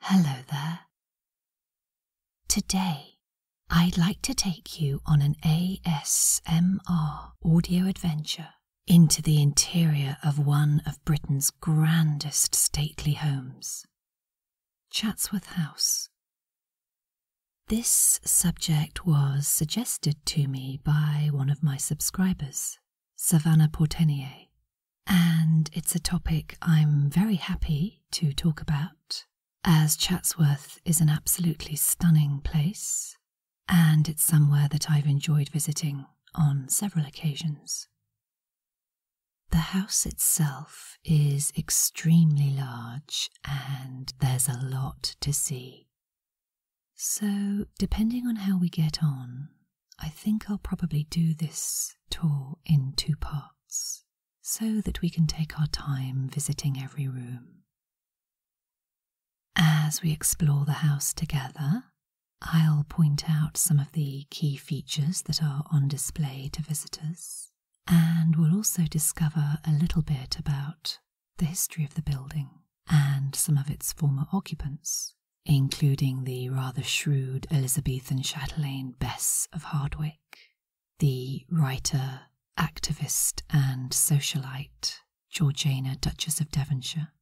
Hello there. Today, I'd like to take you on an ASMR audio adventure into the interior of one of Britain's grandest stately homes, Chatsworth House. This subject was suggested to me by one of my subscribers, Savannah Portenier, and it's a topic I'm very happy to talk about, as Chatsworth is an absolutely stunning place, and it's somewhere that I've enjoyed visiting on several occasions. The house itself is extremely large, and there's a lot to see. So, depending on how we get on, I think I'll probably do this tour in two parts so that we can take our time visiting every room. As we explore the house together, I'll point out some of the key features that are on display to visitors, and we'll also discover a little bit about the history of the building and some of its former occupants including the rather shrewd Elizabethan chatelaine Bess of Hardwicke, the writer, activist, and socialite Georgiana, Duchess of Devonshire,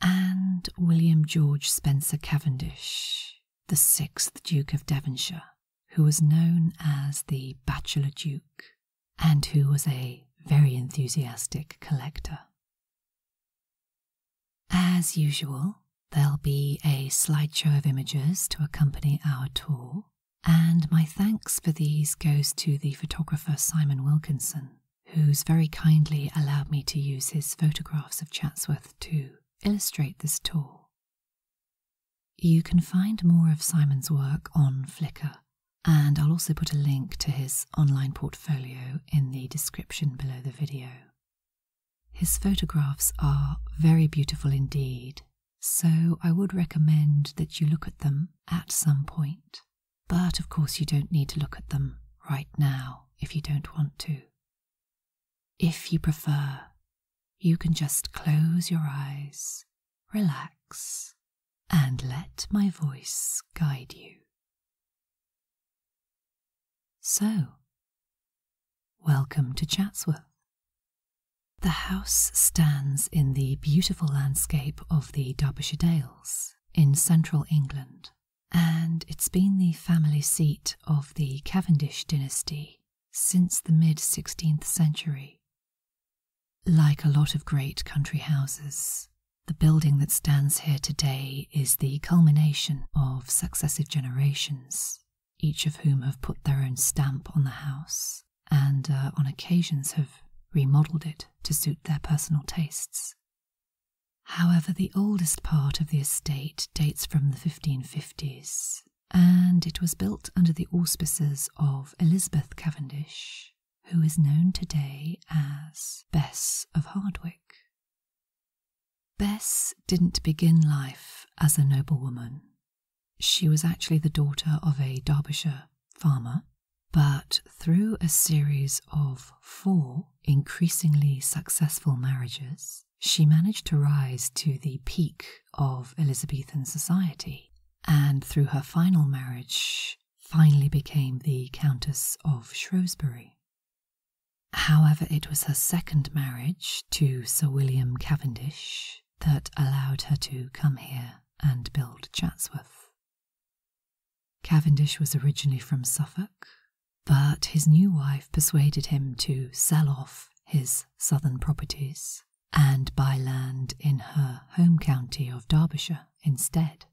and William George Spencer Cavendish, the sixth Duke of Devonshire, who was known as the Bachelor Duke and who was a very enthusiastic collector. As usual, there'll be a slideshow of images to accompany our tour, and my thanks for these goes to the photographer Simon Wilkinson, who's very kindly allowed me to use his photographs of Chatsworth to illustrate this tour. You can find more of Simon's work on Flickr, and I'll also put a link to his online portfolio portfolio in the description below the video. His photographs are very beautiful indeed, so I would recommend that you look at them at some point. But of course, you don't need to look at them right now if you don't want to. If you prefer, you can just close your eyes, relax, and let my voice guide you. So, welcome to Chatsworth. The house stands in the beautiful landscape of the Derbyshire Dales in central England, and it's been the family seat of the Cavendish dynasty since the mid 16th century. Like a lot of great country houses, the building that stands here today is the culmination of successive generations, each of whom have put their own stamp on the house and uh, on occasions have remodeled it to suit their personal tastes. However, the oldest part of the estate dates from the 1550s, and it was built under the auspices of Elizabeth Cavendish, who is known today as Bess of Hardwick. Bess didn't begin life as a noblewoman. She was actually the daughter of a Derbyshire farmer, but through a series of four increasingly successful marriages, she managed to rise to the peak of Elizabethan society, and through her final marriage, finally became the Countess of Shrewsbury. However, it was her second marriage to Sir William Cavendish that allowed her to come here and build Chatsworth. Cavendish was originally from Suffolk, but his new wife persuaded him to sell off his southern properties and buy land in her home county of Derbyshire instead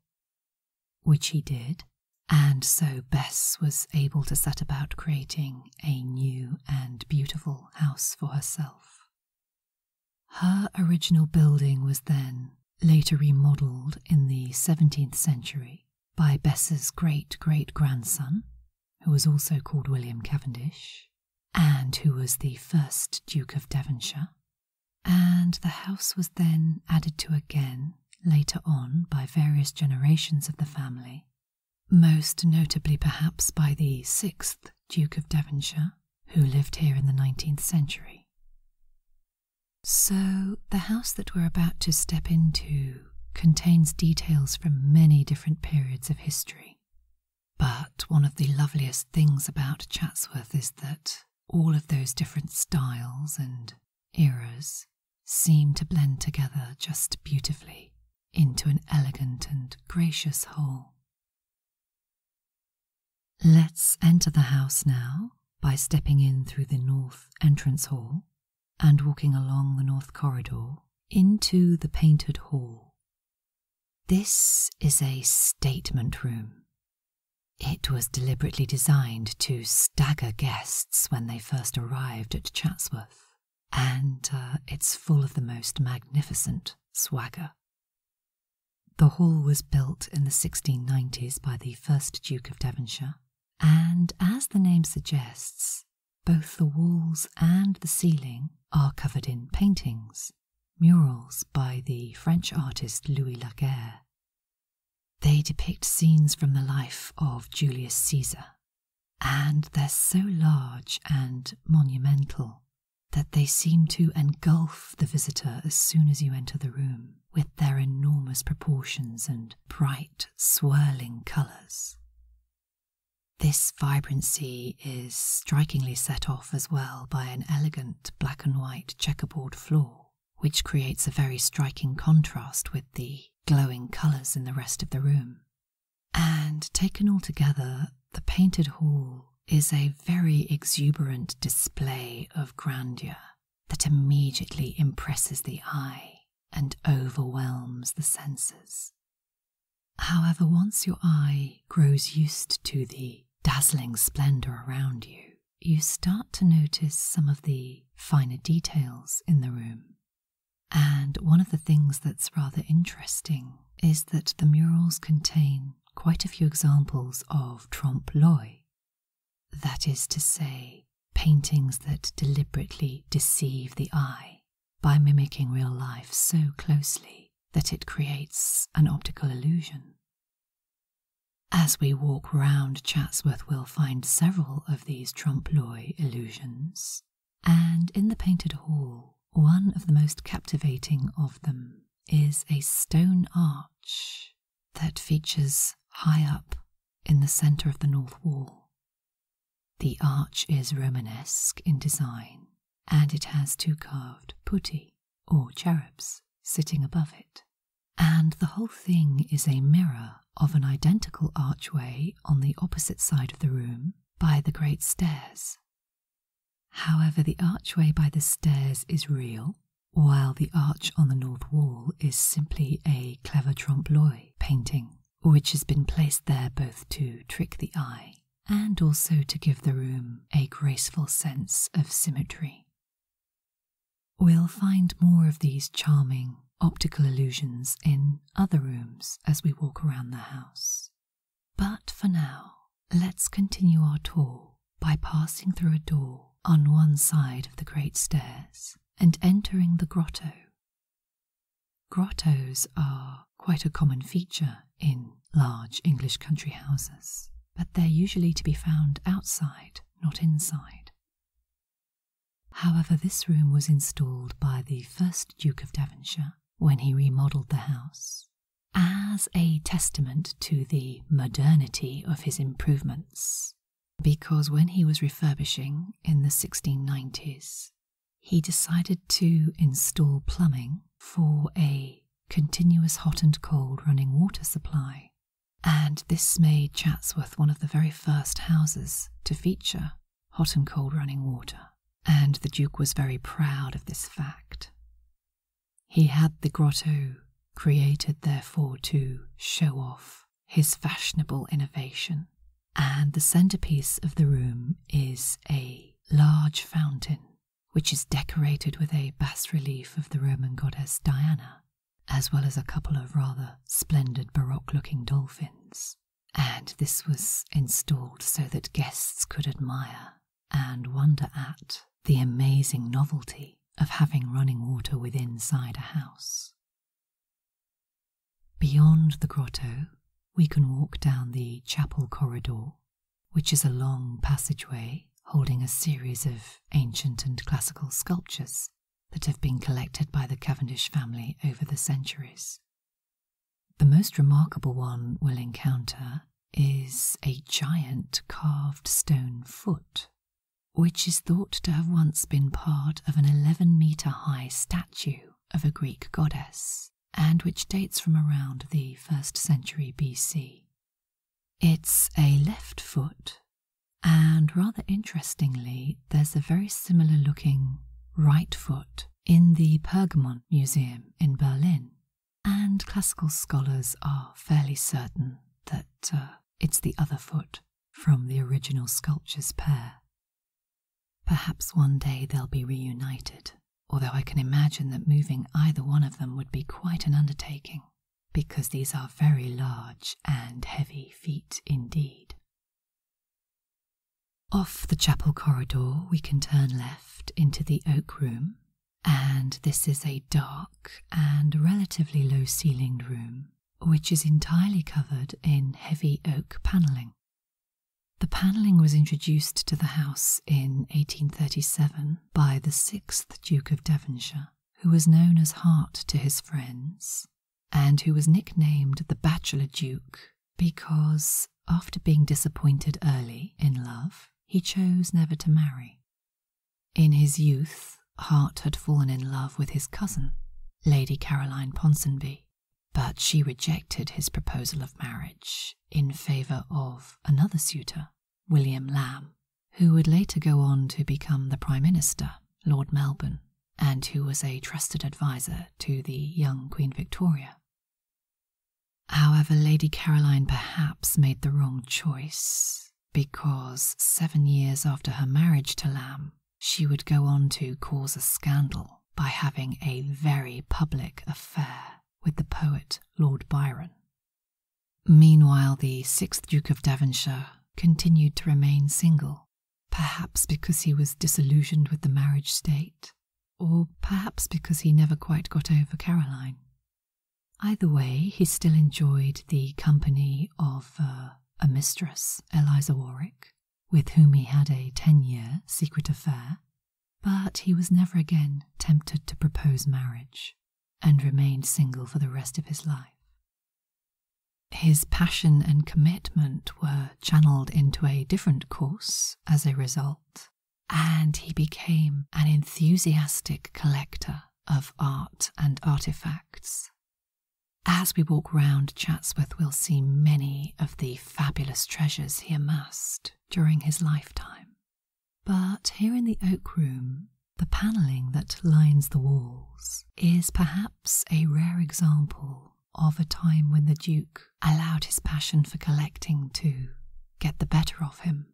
which he did, and so Bess was able to set about creating a new and beautiful house for herself. Her original building was then later remodeled in the 17th century by Bess's great great grandson, who was also called William Cavendish, and who was the first Duke of Devonshire, and the house was then added to again later on by various generations of the family, most notably perhaps by the sixth Duke of Devonshire, who lived here in the 19th century. So, the house that we're about to step into contains details from many different periods of history. But one of the loveliest things about Chatsworth is that all of those different styles and eras seem to blend together just beautifully into an elegant and gracious whole. Let's enter the house now by stepping in through the north entrance hall and walking along the north corridor into the painted hall. This is a statement room it was deliberately designed to stagger guests when they first arrived at Chatsworth, and uh, it's full of the most magnificent swagger. The hall was built in the 1690s by the first Duke of Devonshire, and as the name suggests, both the walls and the ceiling are covered in paintings, murals by the French artist Louis Laguerre, they depict scenes from the life of Julius Caesar, and they're so large and monumental that they seem to engulf the visitor as soon as you enter the room with their enormous proportions and bright, swirling colours. This vibrancy is strikingly set off as well by an elegant black and white checkerboard floor which creates a very striking contrast with the glowing colours in the rest of the room. And taken all together, the painted hall is a very exuberant display of grandeur that immediately impresses the eye and overwhelms the senses. However, once your eye grows used to the dazzling splendour around you, you start to notice some of the finer details in the room. And one of the things that's rather interesting is that the murals contain quite a few examples of trompe l'oeil, that is to say, paintings that deliberately deceive the eye by mimicking real life so closely that it creates an optical illusion. As we walk round Chatsworth, we'll find several of these trompe l'oeil illusions, and in the painted hall, one of the most captivating of them is a stone arch that features high up in the centre of the north wall. The arch is Romanesque in design, and it has two carved putti, or cherubs, sitting above it and the whole thing is a mirror of an identical archway on the opposite side of the room by the great stairs. However, the archway by the stairs is real, while the arch on the north wall is simply a clever trompe l'oeil painting, which has been placed there both to trick the eye and also to give the room a graceful sense of symmetry. We'll find more of these charming optical illusions in other rooms as we walk around the house. But for now, let's continue our tour by passing through a door on one side of the great stairs and entering the grotto. Grottos are quite a common feature in large English country houses, but they're usually to be found outside, not inside. However, this room was installed by the first Duke of Devonshire when he remodeled the house as a testament to the modernity of his improvements, because when he was refurbishing in the 1690s, he decided to install plumbing for a continuous hot and cold running water supply and this made Chatsworth one of the very first houses to feature hot and cold running water, and the Duke was very proud of this fact. He had the grotto created, therefore, to show off his fashionable innovation, and the centerpiece of the room is a large fountain which is decorated with a bas relief of the Roman goddess Diana as well as a couple of rather splendid Baroque looking dolphins. And this was installed so that guests could admire and wonder at the amazing novelty of having running water within inside a house. Beyond the grotto, we can walk down the chapel corridor, which is a long passageway holding a series of ancient and classical sculptures that have been collected by the Cavendish family over the centuries. The most remarkable one we'll encounter is a giant carved stone foot, which is thought to have once been part of an 11 metre high statue of a Greek goddess, and which dates from around the 1st century BC. It's a left foot and rather interestingly, there's a very similar looking right foot in the Pergamon Museum in Berlin. And classical scholars are fairly certain that uh, it's the other foot from the original sculpture's pair. Perhaps one day they'll be reunited, although I can imagine that moving either one of them would be quite an undertaking because these are very large and heavy feet indeed. Off the chapel corridor, we can turn left into the oak room, and this is a dark and relatively low ceilinged room, which is entirely covered in heavy oak panelling. The panelling was introduced to the house in 1837 by the 6th Duke of Devonshire, who was known as Hart to his friends, and who was nicknamed the Bachelor Duke because, after being disappointed early in love, he chose never to marry. In his youth, Hart had fallen in love with his cousin, Lady Caroline Ponsonby, but she rejected his proposal of marriage in favour of another suitor, William Lamb, who would later go on to become the Prime Minister, Lord Melbourne, and who was a trusted adviser to the young Queen Victoria. However, Lady Caroline perhaps made the wrong choice, because seven years after her marriage to Lamb, she would go on to cause a scandal by having a very public affair with the poet Lord Byron. Meanwhile, the 6th Duke of Devonshire continued to remain single, perhaps because he was disillusioned with the marriage state, or perhaps because he never quite got over Caroline. Either way, he still enjoyed the company of uh, a mistress, Eliza Warwick, with whom he had a ten year secret affair, but he was never again tempted to propose marriage and remained single for the rest of his life. His passion and commitment were channeled into a different course as a result, and he became an enthusiastic collector of art and artifacts. As we walk round Chatsworth, we'll see many of the fabulous treasures he amassed during his lifetime. But here in the oak room, the panelling that lines the walls is perhaps a rare example of a time when the Duke allowed his passion for collecting to get the better of him.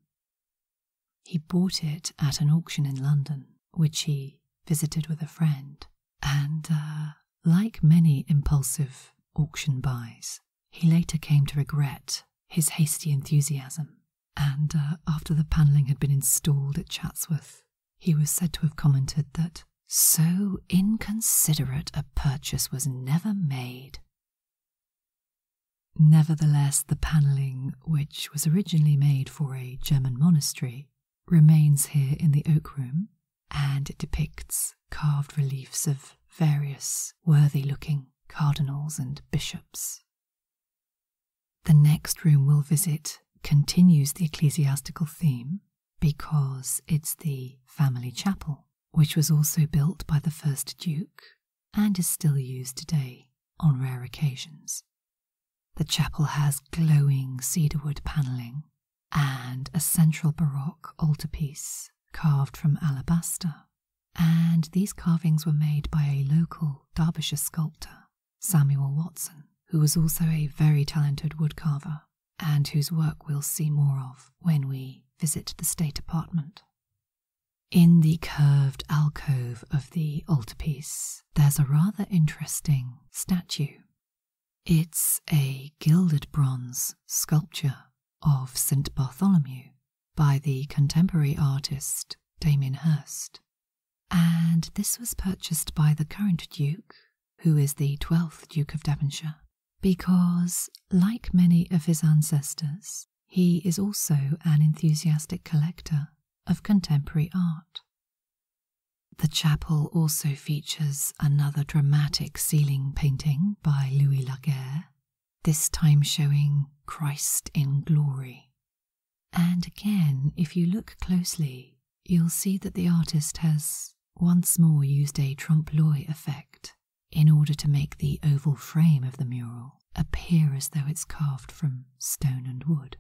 He bought it at an auction in London, which he visited with a friend, and uh, like many impulsive auction buys, he later came to regret his hasty enthusiasm and uh, after the panelling had been installed at Chatsworth, he was said to have commented that so inconsiderate a purchase was never made. Nevertheless, the panelling, which was originally made for a German monastery, remains here in the Oak Room, and it depicts carved reliefs of various worthy looking cardinals and bishops the next room we'll visit continues the ecclesiastical theme because it's the family chapel, which was also built by the first Duke and is still used today on rare occasions. The chapel has glowing cedarwood panelling and a central Baroque altarpiece carved from alabaster and these carvings were made by a local Derbyshire sculptor, Samuel Watson, who was also a very talented woodcarver and whose work we'll see more of when we visit the state apartment. In the curved alcove of the altarpiece, there's a rather interesting statue. It's a gilded bronze sculpture of St. Bartholomew, by the contemporary artist Damien Hirst, and this was purchased by the current Duke, who is the 12th Duke of Devonshire, because, like many of his ancestors, he is also an enthusiastic collector of contemporary art. The chapel also features another dramatic ceiling painting by Louis Laguerre, this time showing Christ in glory, and again, if you look closely, you'll see that the artist has once more used a trompe l'oeil effect in order to make the oval frame of the mural appear as though it's carved from stone and wood.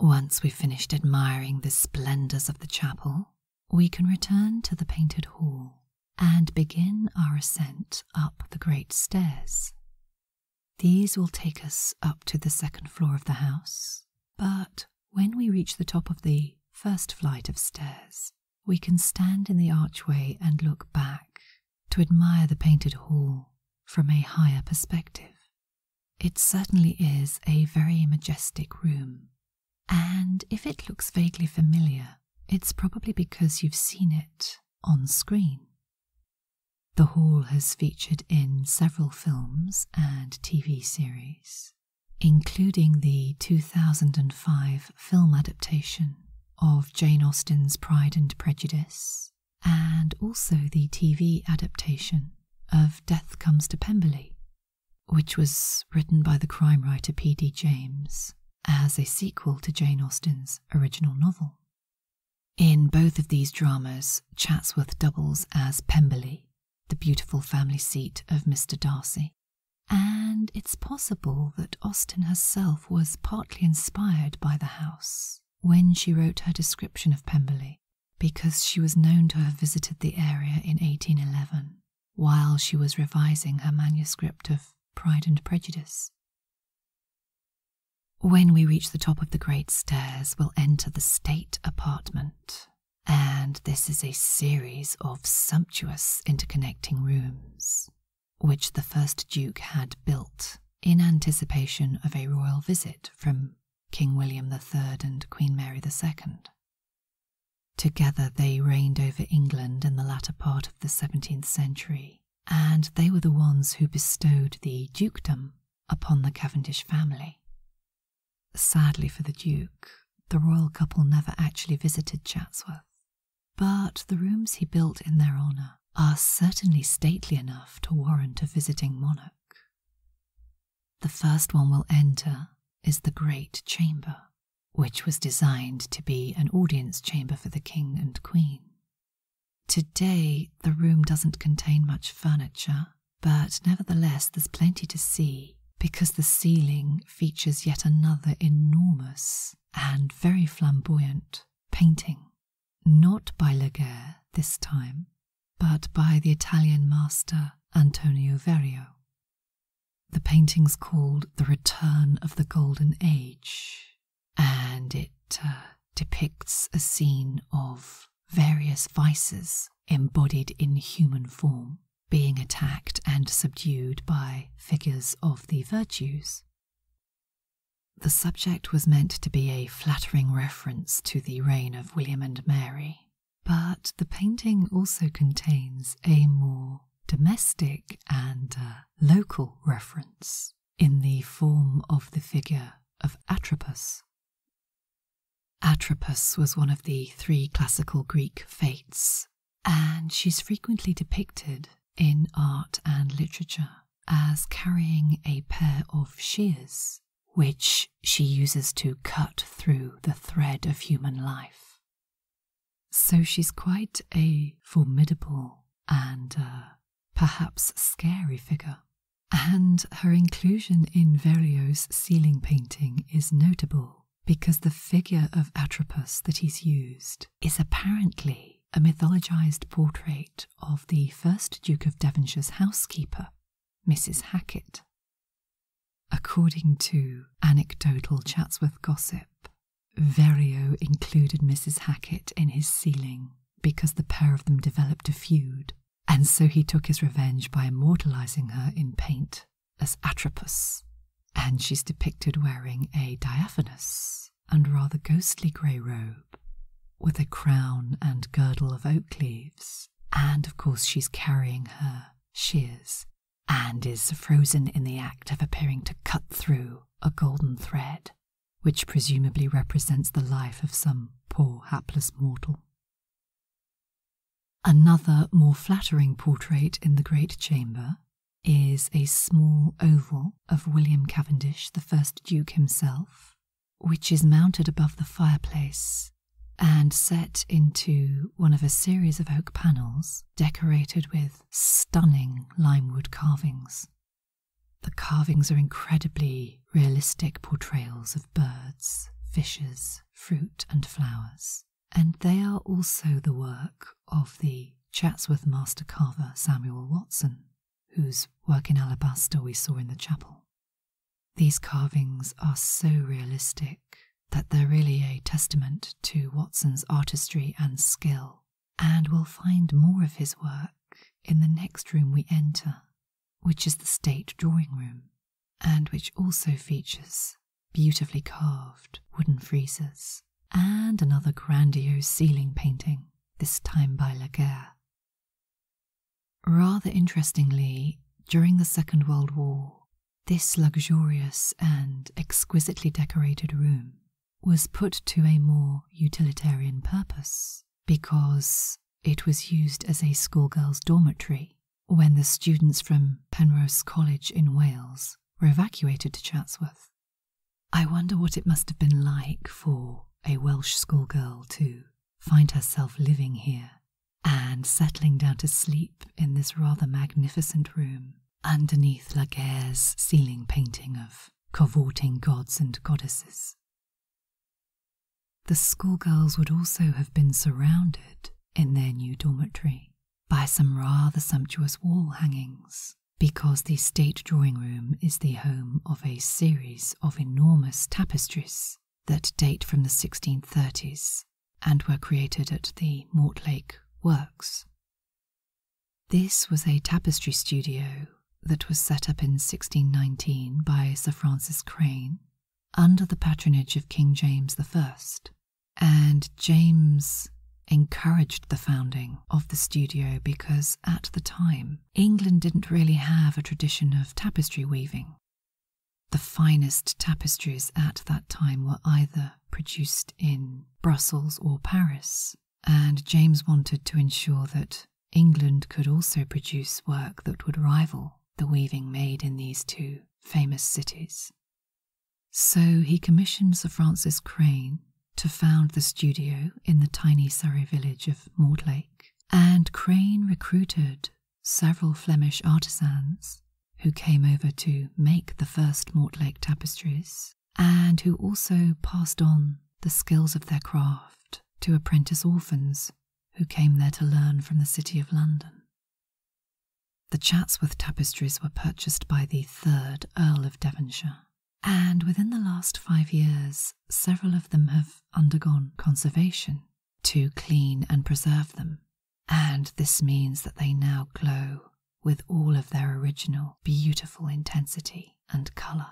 Once we've finished admiring the splendours of the chapel, we can return to the painted hall and begin our ascent up the great stairs. These will take us up to the second floor of the house, but when we reach the top of the first flight of stairs, we can stand in the archway and look back to admire the painted hall from a higher perspective. It certainly is a very majestic room, and if it looks vaguely familiar, it's probably because you've seen it on screen. The hall has featured in several films and TV series, including the 2005 film adaptation of Jane Austen's Pride and Prejudice, and also the TV adaptation of Death Comes to Pemberley, which was written by the crime writer P.D. James as a sequel to Jane Austen's original novel. In both of these dramas, Chatsworth doubles as Pemberley, the beautiful family seat of Mr. Darcy, and it's possible that Austen herself was partly inspired by the house when she wrote her description of Pemberley, because she was known to have visited the area in 1811 while she was revising her manuscript of Pride and Prejudice, when we reach the top of the great stairs, we'll enter the state apartment. And this is a series of sumptuous interconnecting rooms, which the first Duke had built in anticipation of a royal visit from King William the Third and Queen Mary the Second. Together they reigned over England in the latter part of the 17th century and they were the ones who bestowed the dukedom upon the Cavendish family. Sadly for the Duke, the royal couple never actually visited Chatsworth, but the rooms he built in their honour are certainly stately enough to warrant a visiting monarch. The first one we'll enter is the Great Chamber, which was designed to be an audience chamber for the King and Queen. Today, the room doesn't contain much furniture, but nevertheless, there's plenty to see because the ceiling features yet another enormous and very flamboyant painting. Not by Laguerre this time, but by the Italian master Antonio Verrio. The painting's called The Return of the Golden Age, and it uh, depicts a scene of various vices embodied in human form being attacked and subdued by figures of the virtues. The subject was meant to be a flattering reference to the reign of William and Mary, but the painting also contains a more domestic and uh, local reference in the form of the figure of Atropos. Atropos was one of the three classical Greek fates, and she is frequently depicted in art and literature as carrying a pair of shears, which she uses to cut through the thread of human life. So she's quite a formidable and uh, perhaps scary figure. And her inclusion in Verrio's ceiling painting is notable because the figure of Atropos that he's used is apparently a mythologized portrait of the first Duke of Devonshire's housekeeper, Mrs. Hackett. According to anecdotal Chatsworth gossip, Verrio included Mrs. Hackett in his sealing because the pair of them developed a feud, and so he took his revenge by immortalizing her in paint as Atropos, and she's depicted wearing a diaphanous and rather ghostly grey robe with a crown and girdle of oak leaves, and of course she's carrying her shears and is frozen in the act of appearing to cut through a golden thread, which presumably represents the life of some poor hapless mortal. Another more flattering portrait in the Great Chamber is a small oval of William Cavendish, the first Duke himself, which is mounted above the fireplace and set into one of a series of oak panels decorated with stunning limewood carvings. The carvings are incredibly realistic portrayals of birds, fishes, fruit, and flowers, and they are also the work of the Chatsworth master carver Samuel Watson, whose work in alabaster we saw in the chapel. These carvings are so realistic that they're really a testament to Watson's artistry and skill and we'll find more of his work in the next room we enter, which is the state drawing room, and which also features beautifully carved wooden friezes and another grandiose ceiling painting, this time by Laguerre. Rather interestingly, during the Second World War, this luxurious and exquisitely decorated room was put to a more utilitarian purpose because it was used as a schoolgirls' dormitory when the students from Penrose College in Wales were evacuated to Chatsworth. I wonder what it must have been like for a Welsh schoolgirl to find herself living here and settling down to sleep in this rather magnificent room underneath Laguerre's ceiling painting of cavorting gods and goddesses. The schoolgirls would also have been surrounded in their new dormitory by some rather sumptuous wall hangings, because the state drawing room is the home of a series of enormous tapestries that date from the 1630s and were created at the Mortlake Works. This was a tapestry studio that was set up in 1619 by Sir Francis Crane under the patronage of King James I, and James encouraged the founding of the studio because at the time England didn't really have a tradition of tapestry weaving. The finest tapestries at that time were either produced in Brussels or Paris, and James wanted to ensure that England could also produce work that would rival the weaving made in these two famous cities. So he commissioned Sir Francis Crane to found the studio in the tiny Surrey village of Mortlake, and Crane recruited several Flemish artisans who came over to make the first Mortlake tapestries and who also passed on the skills of their craft to apprentice orphans who came there to learn from the City of London. The Chatsworth tapestries were purchased by the third Earl of Devonshire, and within the last five years, several of them have undergone conservation to clean and preserve them, and this means that they now glow with all of their original beautiful intensity and colour.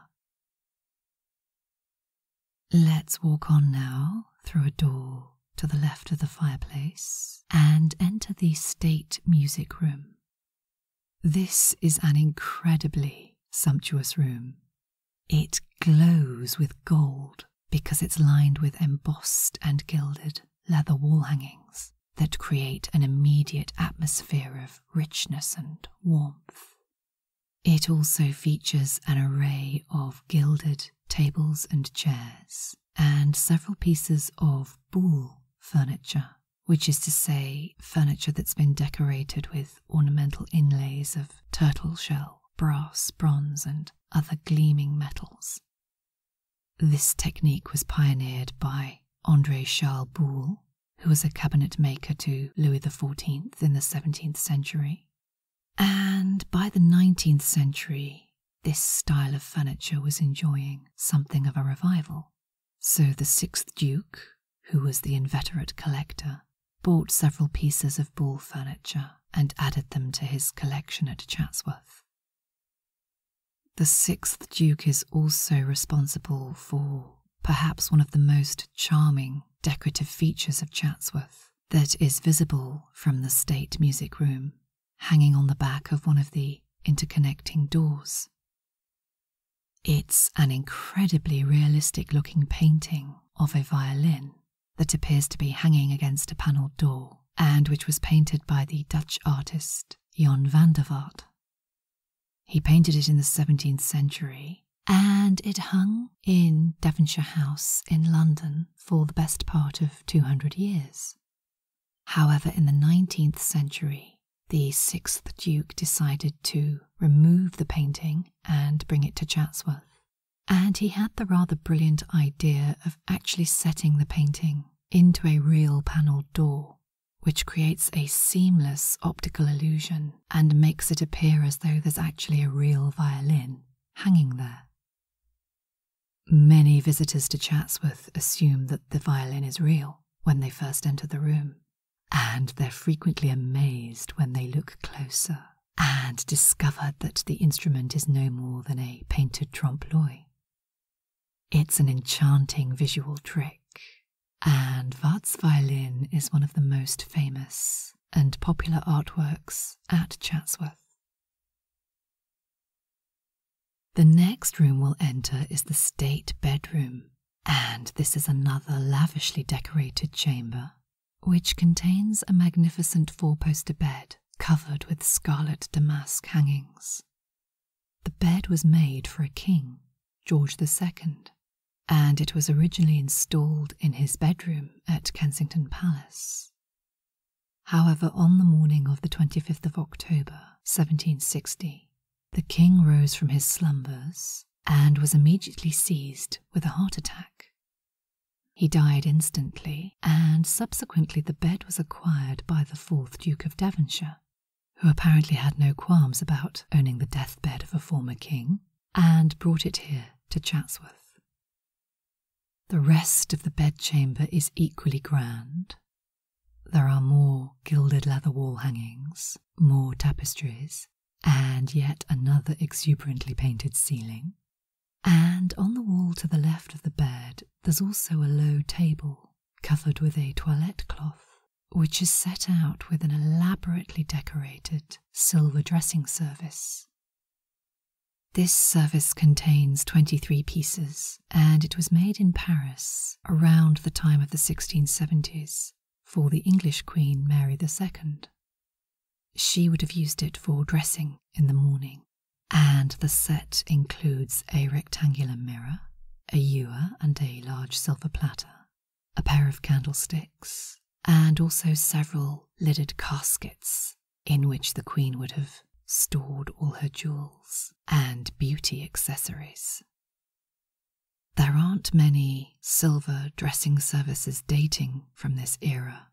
Let's walk on now through a door to the left of the fireplace and enter the state music room. This is an incredibly sumptuous room. It glows with gold because it's lined with embossed and gilded leather wall hangings that create an immediate atmosphere of richness and warmth. It also features an array of gilded tables and chairs, and several pieces of boule furniture, which is to say, furniture that's been decorated with ornamental inlays of turtle shell, brass, bronze, and other gleaming metals. This technique was pioneered by André Charles Boulle, who was a cabinet maker to Louis XIV in the 17th century. And by the 19th century, this style of furniture was enjoying something of a revival. So the sixth Duke, who was the inveterate collector, bought several pieces of Boulle furniture and added them to his collection at Chatsworth. The sixth Duke is also responsible for perhaps one of the most charming decorative features of Chatsworth that is visible from the state music room, hanging on the back of one of the interconnecting doors. It's an incredibly realistic looking painting of a violin that appears to be hanging against a panelled door and which was painted by the Dutch artist Jan van der Vaart. He painted it in the 17th century and it hung in Devonshire House in London for the best part of 200 years. However, in the 19th century, the 6th Duke decided to remove the painting and bring it to Chatsworth. And he had the rather brilliant idea of actually setting the painting into a real panelled door which creates a seamless optical illusion and makes it appear as though there's actually a real violin hanging there. Many visitors to Chatsworth assume that the violin is real when they first enter the room, and they're frequently amazed when they look closer and discover that the instrument is no more than a painted trompe l'oeil it's an enchanting visual trick, and Vat's violin is one of the most famous and popular artworks at Chatsworth. The next room we'll enter is the state bedroom, and this is another lavishly decorated chamber, which contains a magnificent four poster bed covered with scarlet damask hangings. The bed was made for a king, George II, and it was originally installed in his bedroom at Kensington Palace. However, on the morning of the 25th of October 1760, the king rose from his slumbers and was immediately seized with a heart attack. He died instantly, and subsequently the bed was acquired by the 4th Duke of Devonshire, who apparently had no qualms about owning the deathbed of a former king, and brought it here to Chatsworth. The rest of the bedchamber is equally grand. There are more gilded leather wall hangings, more tapestries, and yet another exuberantly painted ceiling. And on the wall to the left of the bed, there's also a low table covered with a toilette cloth, which is set out with an elaborately decorated silver dressing service. This service contains 23 pieces, and it was made in Paris around the time of the 1670s for the English Queen Mary II. She would have used it for dressing in the morning, and the set includes a rectangular mirror, a ewer and a large silver platter, a pair of candlesticks, and also several lidded caskets in which the queen would have stored all her jewels and beauty accessories. There aren't many silver dressing services dating from this era.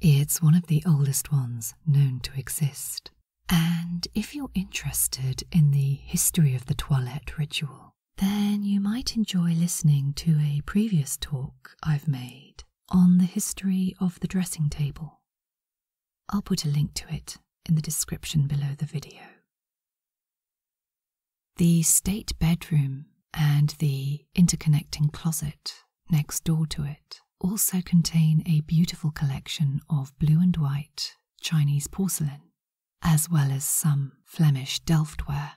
It's one of the oldest ones known to exist. And if you're interested in the history of the toilet ritual, then you might enjoy listening to a previous talk I've made on the history of the dressing table. I'll put a link to it in the description below the video. The state bedroom and the interconnecting closet next door to it also contain a beautiful collection of blue and white Chinese porcelain, as well as some Flemish Delftware.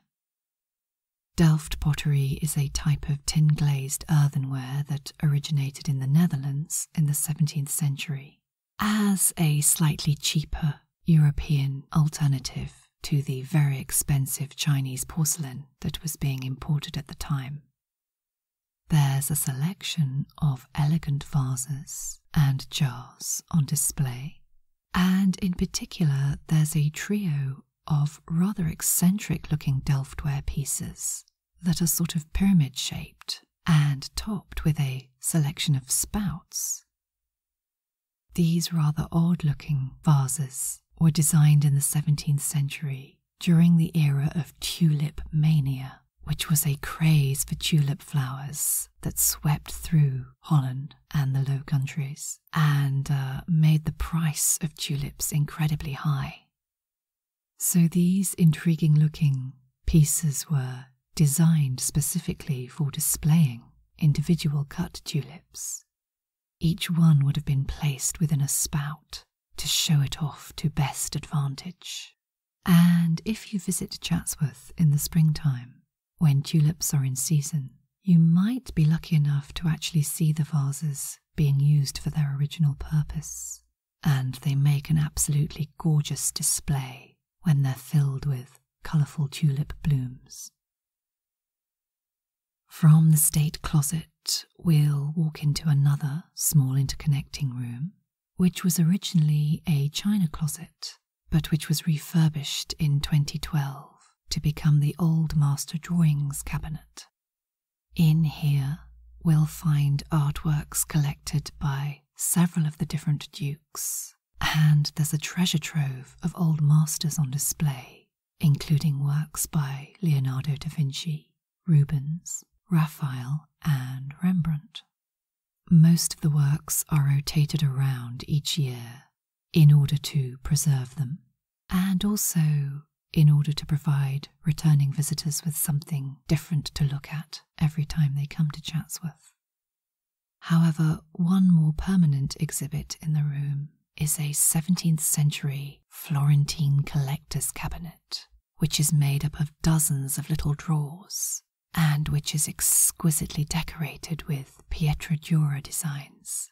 Delft pottery is a type of tin glazed earthenware that originated in the Netherlands in the 17th century as a slightly cheaper European alternative to the very expensive Chinese porcelain that was being imported at the time. There's a selection of elegant vases and jars on display, and in particular, there's a trio of rather eccentric looking Delftware pieces that are sort of pyramid shaped and topped with a selection of spouts. These rather odd looking vases were designed in the 17th century during the era of tulip mania which was a craze for tulip flowers that swept through Holland and the Low Countries and uh, made the price of tulips incredibly high. So these intriguing looking pieces were designed specifically for displaying individual cut tulips. Each one would have been placed within a spout to show it off to best advantage. And if you visit Chatsworth in the springtime, when tulips are in season, you might be lucky enough to actually see the vases being used for their original purpose. And they make an absolutely gorgeous display when they're filled with colourful tulip blooms. From the state closet, we'll walk into another small interconnecting room which was originally a china closet, but which was refurbished in 2012 to become the Old Master Drawings cabinet. In here, we'll find artworks collected by several of the different dukes, and there's a treasure trove of old masters on display, including works by Leonardo da Vinci, Rubens, Raphael, and Rembrandt. Most of the works are rotated around each year in order to preserve them, and also in order to provide returning visitors with something different to look at every time they come to Chatsworth. However, one more permanent exhibit in the room is a 17th century Florentine collector's cabinet which is made up of dozens of little drawers and which is exquisitely decorated with Pietra Dura designs.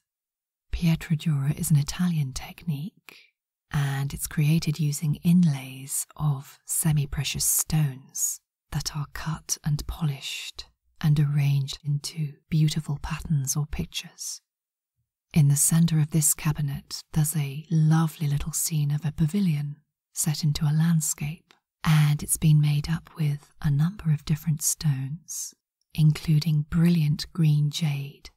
Pietra Dura is an Italian technique and it's created using inlays of semi precious stones that are cut and polished and arranged into beautiful patterns or pictures. In the centre of this cabinet, there's a lovely little scene of a pavilion set into a landscape, and it's been made up with a number of different stones, including brilliant green jade,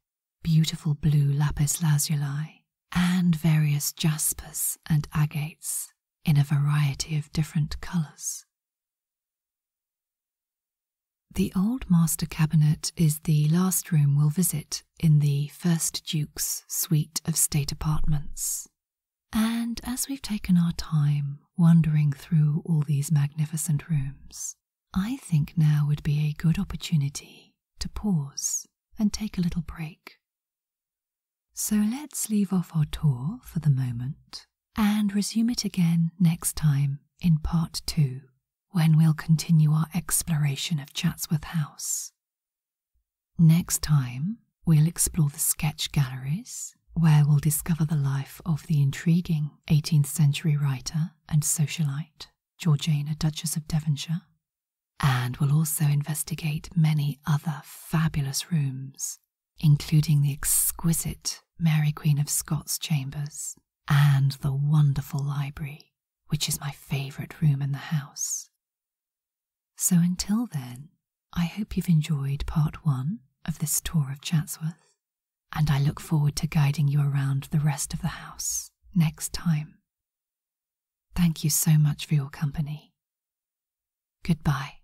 beautiful blue lapis lazuli, and various jaspers and agates in a variety of different colours. The old master cabinet is the last room we'll visit in the First Duke's suite of state apartments. And as we've taken our time wandering through all these magnificent rooms, I think now would be a good opportunity to pause and take a little break. So let's leave off our tour for the moment and resume it again next time in part two, when we'll continue our exploration of Chatsworth House Next time, we'll explore the sketch galleries, where we'll discover the life of the intriguing 18th century writer and socialite Georgiana, Duchess of Devonshire. And we'll also investigate many other fabulous rooms, including the exquisite Mary Queen of Scots chambers and the wonderful library, which is my favourite room in the house. So until then, I hope you've enjoyed part one of this tour of Chatsworth, and I look forward to guiding you around the rest of the house next time. Thank you so much for your company. Goodbye.